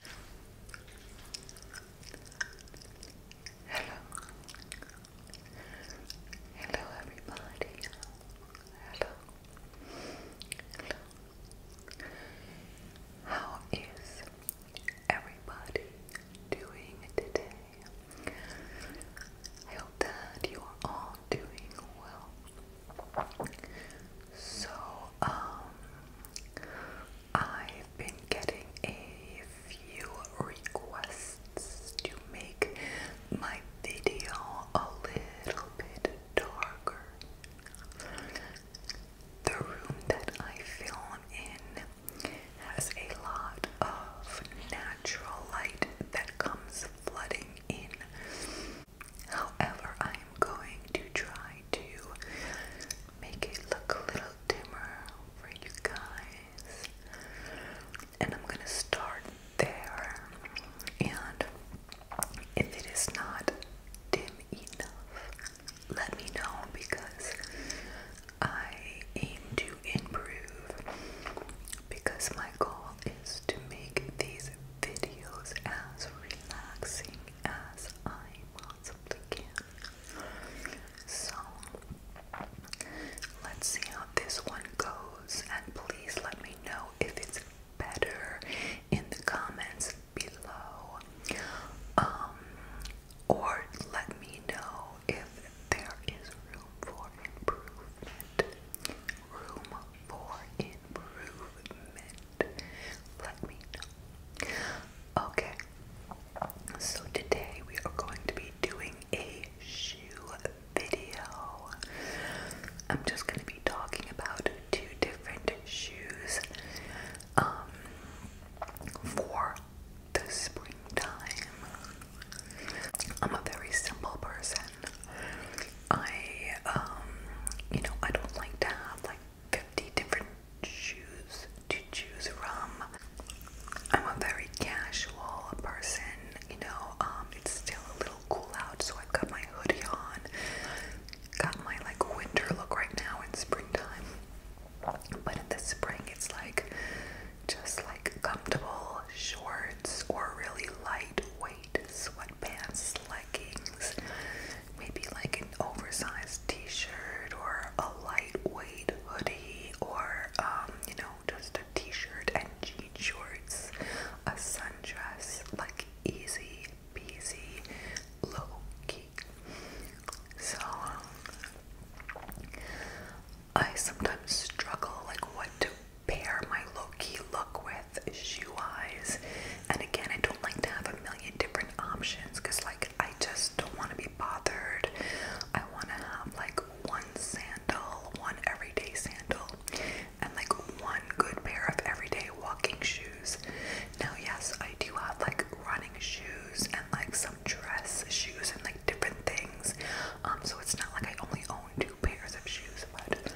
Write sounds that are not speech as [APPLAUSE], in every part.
Hello. Hello everybody. Hello. Hello. How is everybody doing today? I hope that you are all doing well. So, um I've been getting a few requests to make my video a little bit darker. The room that I film in has a lot of natural light that comes flooding in. However, I am going to try to make it look a little dimmer for you guys. And I'm gonna start there. And if it is not dim enough, let me know because I aim to improve. Because my goal is to make these videos as relaxing as I possibly can. So, let's see how this one goes, and please let me know if it's better in the comments below. Um, or let me know if there is room for improvement. Room for improvement let me know. Okay, so today we are going to be doing a shoe video. I'm just going to be talking about two different shoes um, for the springtime. I'm a very simple person. I, um, you know, I don't like to have like 50 different shoes to choose from. I'm a very casual person, you know, um, it's still a little cool out, so I've got my hoodie on, got my like winter look right now in springtime, but in the spring it's like just like comfortable shorts or really lightweight sweatpants, leggings, maybe like an oversized t-shirt or a lightweight hoodie or um, you know, just a t-shirt and jean shorts, a sundress, like easy peasy, low key. So I sometimes struggle like what to pair my low key look with breath issue And again, I don't like to have a million different options because, like, I just don't want to be bothered. I want to have like one sandal, one everyday sandal, and like one good pair of everyday walking shoes. Now, yes, I do have like running shoes and like some dress shoes and like different things. Um, so it's not like I only own two pairs of shoes, but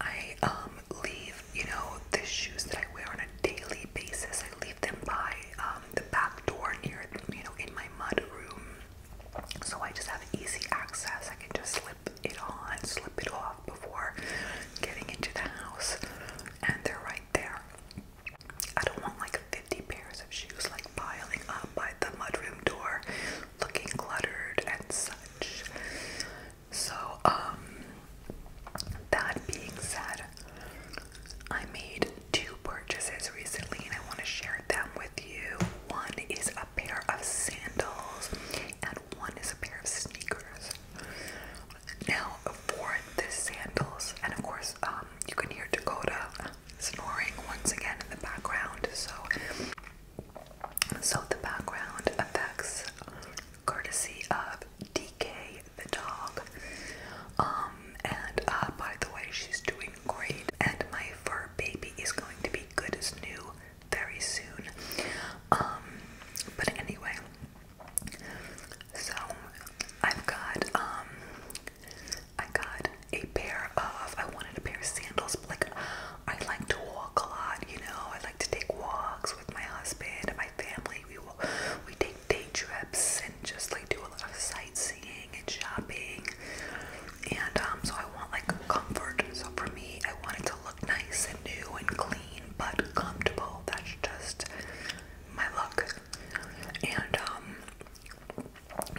I um leave, you know, the shoes that I wear on a daily basis. I leave them by um, the back door near, you know, in my mud So I just have easy access. I can just slip it on, slip it off before getting into the house, and they're right there. I don't want like 50 pairs of shoes like piling up by the mudroom door, looking cluttered and such. So, um, that being said, I made two purchases recently and I want to share them with you. One is a pair of sandals and one is a pair of sneakers. Now, for the sandals, and of course, um, you can hear Dakota snoring once again in the background, so so the background affects courtesy of DK the dog. Um, and uh, by the way, she's doing great. And my fur baby is going to be good as new very soon. Um, but anyway, so I've got um, I got a pair of I wanted a pair of sandals, like I like to walk a lot, you know. I like to take walks with my husband and my family. We will, we take day trips and just like do a lot of sightseeing and shopping. And um, so I want like comfort. So for me, I want it to look nice and new and clean, but comfortable. That's just my look. And um,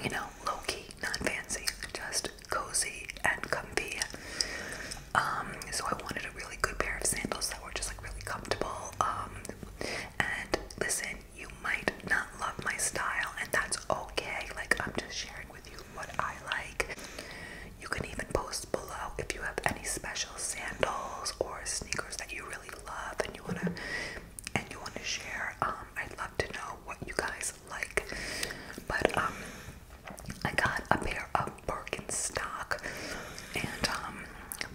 you know, low key, not fancy, just cozy and comfy. Um, so I wanted a really good pair of sandals that were just like really comfortable. Um, and listen, you might not love my style, and that's okay. Like I'm just sharing with you what I like. You can even post below if you have any special sandals or sneakers that you really love and you wanna and you wanna share. Um, I'd love to know what you guys like. But um I got a pair of Birkenstock, and um,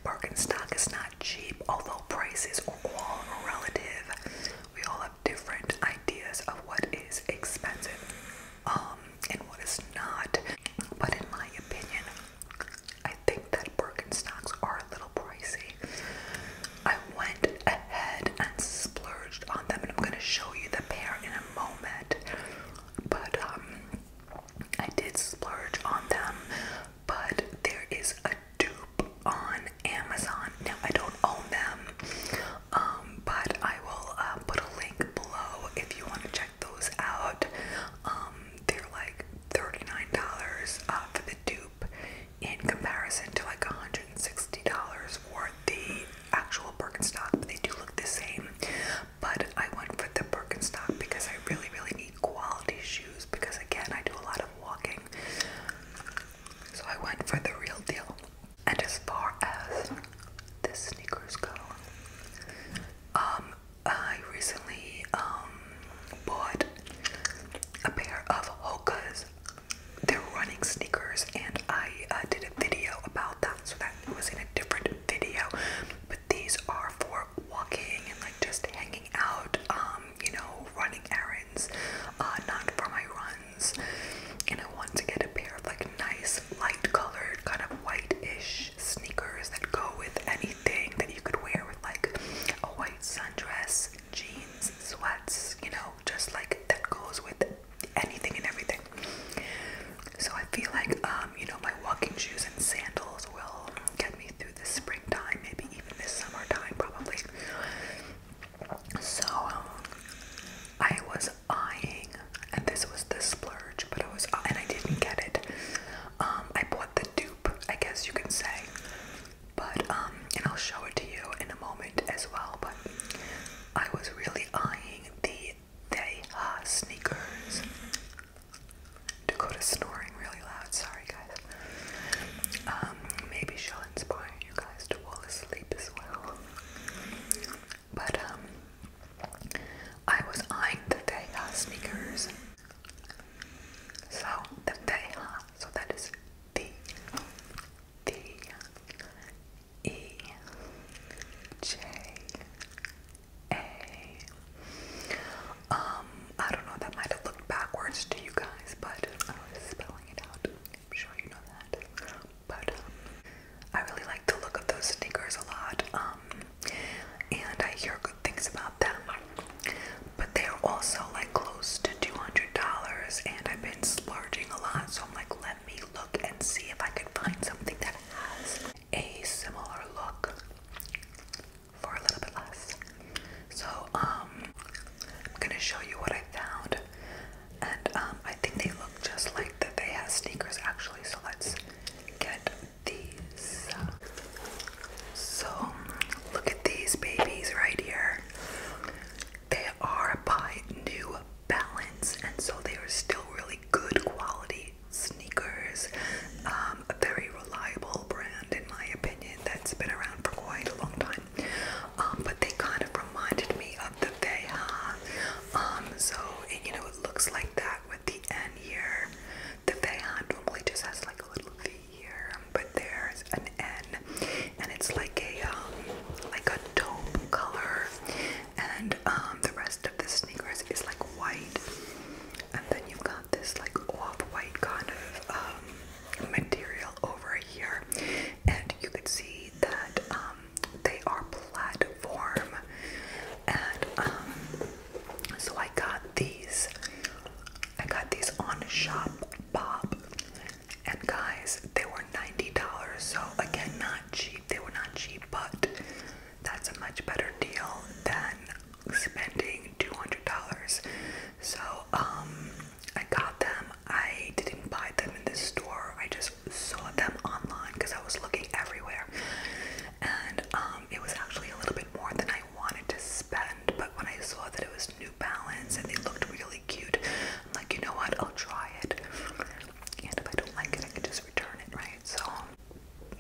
Birkenstock is not cheap, although prices are all relative. We all have different ideas of what is expensive um, and what is not. But in my opinion, I think that Birkenstocks are a little pricey. I went ahead and splurged on them, and I'm going to show you the pair in a moment. But um, I did splurge on them. But there is a dupe on Amazon. Now I don't own them, um, but I will uh, put a link below if you want to check those out. Um, they're like thirty-nine dollars uh, for the dupe, in comparison to like one hundred and sixty dollars worth the actual Birkenstock, but they do look the same. But I went for the Birkenstock because I really, really need quality shoes because, again, I do a lot of walking. So I went for the real deal. And as far as the sneakers go, um, I recently um, bought a pair of Hoka's they're running sneakers and I uh, did a video about that so that was in a different video but these are for walking and like just hanging out um you know running errands uh, not for my runs and I want to get a pair of like nice light colored kind of white-ish sneakers that go with anything that you could wear with like a white sundress jeans sweats you know just like that goes with anything and everything. So I feel like, um, you know, my walking shoes and sandals will get me through this springtime, maybe even this summertime, probably. So um, I was eyeing, and this was the splurge, but I was, uh, and I didn't get it. Um, I bought the dupe, I guess you can say, but um, and I'll show it to you in a moment as well. But I was really eyeing the Deha sneakers. Dakota's snoring really loud. Sorry, guys. Um, maybe she'll inspire you guys to fall asleep as well. But um, I was eyeing the Deha sneakers. So the Deha, so that is the the E J A. Um, I don't know, that might have looked backwards to you guys, but I was spelling it out. I'm sure you know that. But um, I really like the look of those sneakers a lot. Um, and I hear good things about them. But they are also like close to $200 and I've been splurging a lot, so like, let me look and see if I can find something that has a similar look for a little bit less. So, um, I'm gonna show you what I found, and um, I think they look just like that. They have sneakers actually, so let's get these. So, look at these babies right here. They are by New Balance, and so they are still really good quality sneakers. Um, a very reliable brand, in my opinion, that's been around for quite a long time. Um, but they kind of reminded me of the Veja. Um, so you know, it looks like that with the N here. The Veja normally just has like a little V here, but there's an N and it's like a um, like a taupe color, and um, the rest of the sneakers is like white, and then you've got this like off-white kind of um, material over here, and you can see that they are platform, and so I got these. I got these on Shop Bob and guys, they were $90. So again, not cheap. They were not cheap, but that's a much better deal than spending $200. So um I got them. I didn't buy them in the store. I just saw them online because I was looking everywhere. And um it was actually a little bit more than I wanted to spend, but when I saw that it was New Balance and they looked really cute, like, you know what? I'll try it. And if I don't like it, I can just return it, right? So,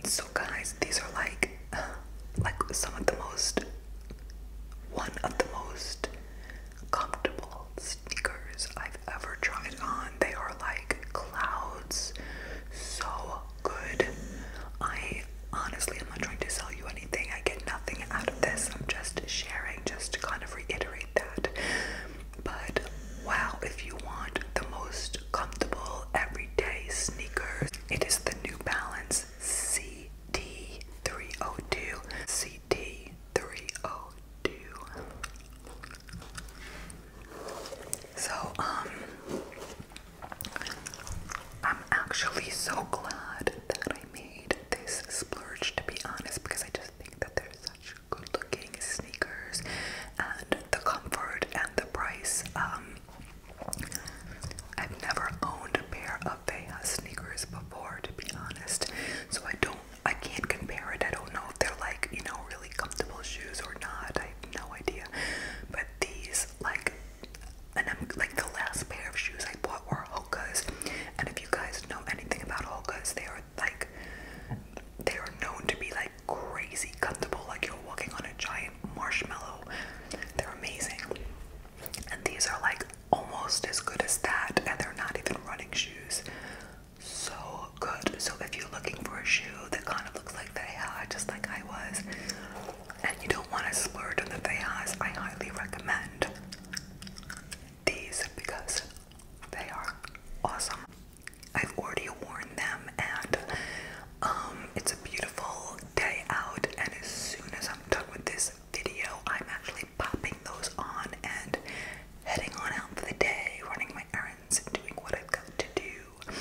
so guys, these are like, [SIGHS] like some of the most, one of the most comfortable sneakers I've ever tried on. They are like clouds, so good. I honestly, I'm not trying to sell you anything. I get nothing out of this. I'm just sharing, just to kind of reiterate that. But wow, if you want the most comfortable everyday sneakers, it is the New Balance CD302. CD302. So, um, I'm actually so glad that I made this splurge to be honest because I just think that they're such good looking sneakers and the comfort and the price. Um, I've never owned a pair of Veja sneakers before to be honest, so I don't, I can't compare it. I don't know if they're like, you know, really comfortable shoes or not. I have no idea. But these, like, and I'm like the last pair of shoes I bought were Hoka's. And if you guys know anything about Hoka's, they are like they are known to be like crazy comfortable, like you're walking on a giant marshmallow. They're amazing. And these are like almost as good as that, and they're not even running shoes. So good. So if you're looking for a shoe that kind of looks like Veja, just like I was, and you don't want to splurge on the Vejas, I highly recommend these because they are awesome. I've already worn them and um, it's a beautiful day out and as soon as I'm done with this video, I'm actually popping those on and heading on out for the day, running my errands and doing what I've got to do.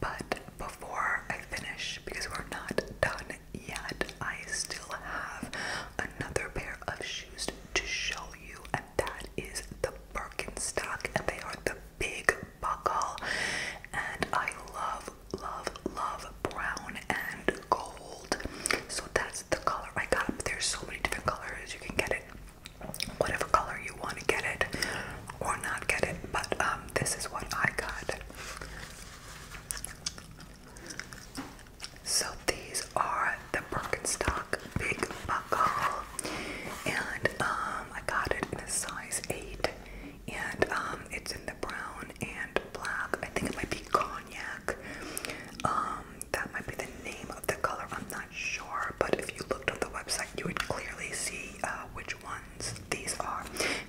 But before I finish, because we're not done yet. I still have another pair of shoes to show you, and that is the Birkenstock, and they are the big buckle. And I love, love, love brown and gold. So that's the color I got. There's so many different colors. You can get it whatever color you want to get it or not get it, but um, this is what I got. So these are the Birkenstock Big Buckle, and um, I got it in a size eight, and um, it's in the brown and black. I think it might be cognac. Um, that might be the name of the color. I'm not sure, but if you looked on the website, you would clearly see uh, which one these are,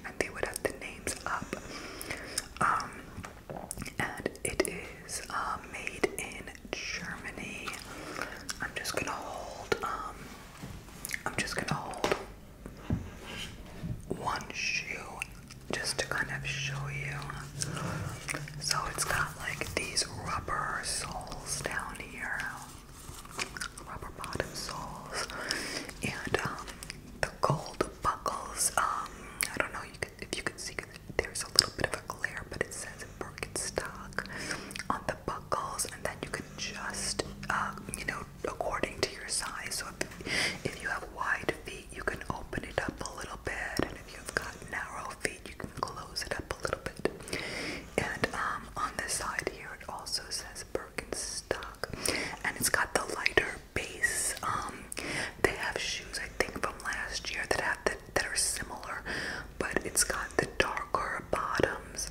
and they would have the names up. Um, and it is uh, made in Germany. I'm just gonna hold. Um, I'm just gonna hold one shoe just to kind of show you. So it's got like these rubber soles down here, rubber bottom soles, and um, the gold buckles. Um, I don't know if you can see there's a little bit of a glare, but it says Birkenstock on the buckles, and then you can just, uh, you know, according to your size. So if, you have wide feet, you can open it up a little bit, and if you've got narrow feet, you can close it up a little bit. And um, on this side here, it also says Birkenstock, and it's got the lighter base. Um, they have shoes I think from last year that have the, that are similar, but it's got the darker bottoms.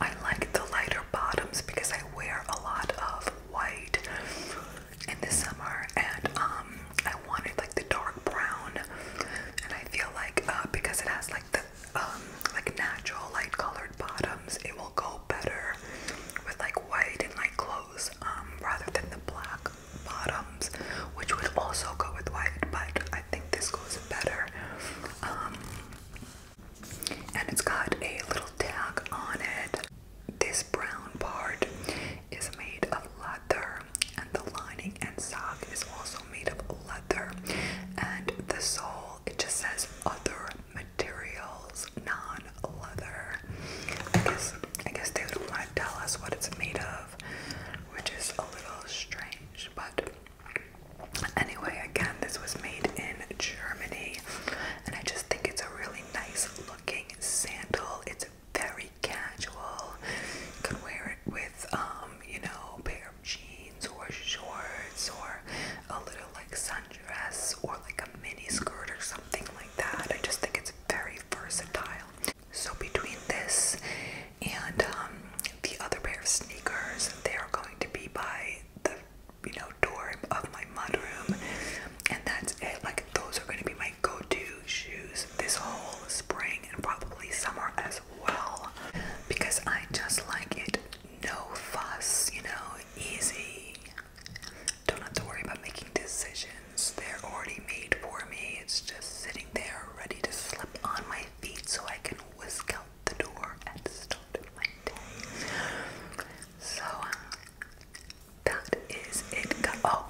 I like the lighter bottoms because I wear a lot of white in the summer, and um, I wanted like the dark brown, and I feel like uh, because it has like the um, like natural light colored bottoms, it will go better with like white and light clothes um, rather than the black bottoms, which would also go with white, but I think this goes better. Um, and it's got a little tag on it. This brown part is made of leather, and the lining and sock is also made of leather, and the sole it just says other materials, non-leather. I guess I guess they don't want to tell us what it's made of, which is a little strange, but anyway, again, this was made in Germany, and I just think it's a really nice looking sandal. It's very casual. You could wear it with um, you know, a pair of jeans or shorts or a little like sundress or like a mini skirt or something like that. I just think it's very versatile. So between this and um, the other pair of sneakers, they are going to be by the you know door of my mudroom, and that's it. Like those are going to be my go-to shoes this whole spring and probably summer as well, because I just like it no fuss, you know, easy. Don't have to worry about making decisions. They're already made for me. It's just sitting there ready to slip on my feet so I can whisk out the door and start my day. So um, that is it. Oh,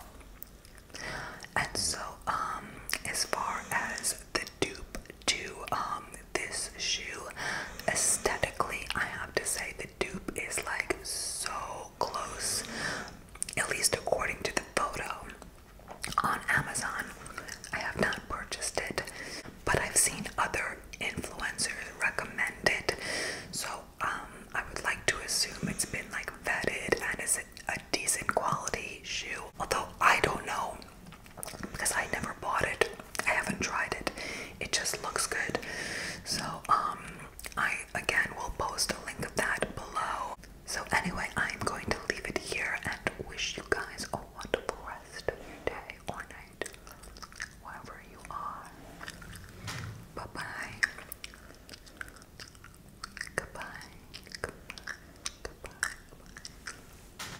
and so um, as far as the dupe to um, this shoe aesthetically i have to say the dupe is like so close at least according to the photo on amazon i have not purchased it but i've seen other influencers recommend it so um, i would like to assume it's been like vetted and is a decent quality shoe although i don't know because I never bought it. I haven't tried it. It just looks good. So um, I again will post a link of that below. So anyway, I'm going to leave it here and wish you guys a wonderful rest of your day or night. Wherever you are. Bye-bye. Goodbye. Goodbye.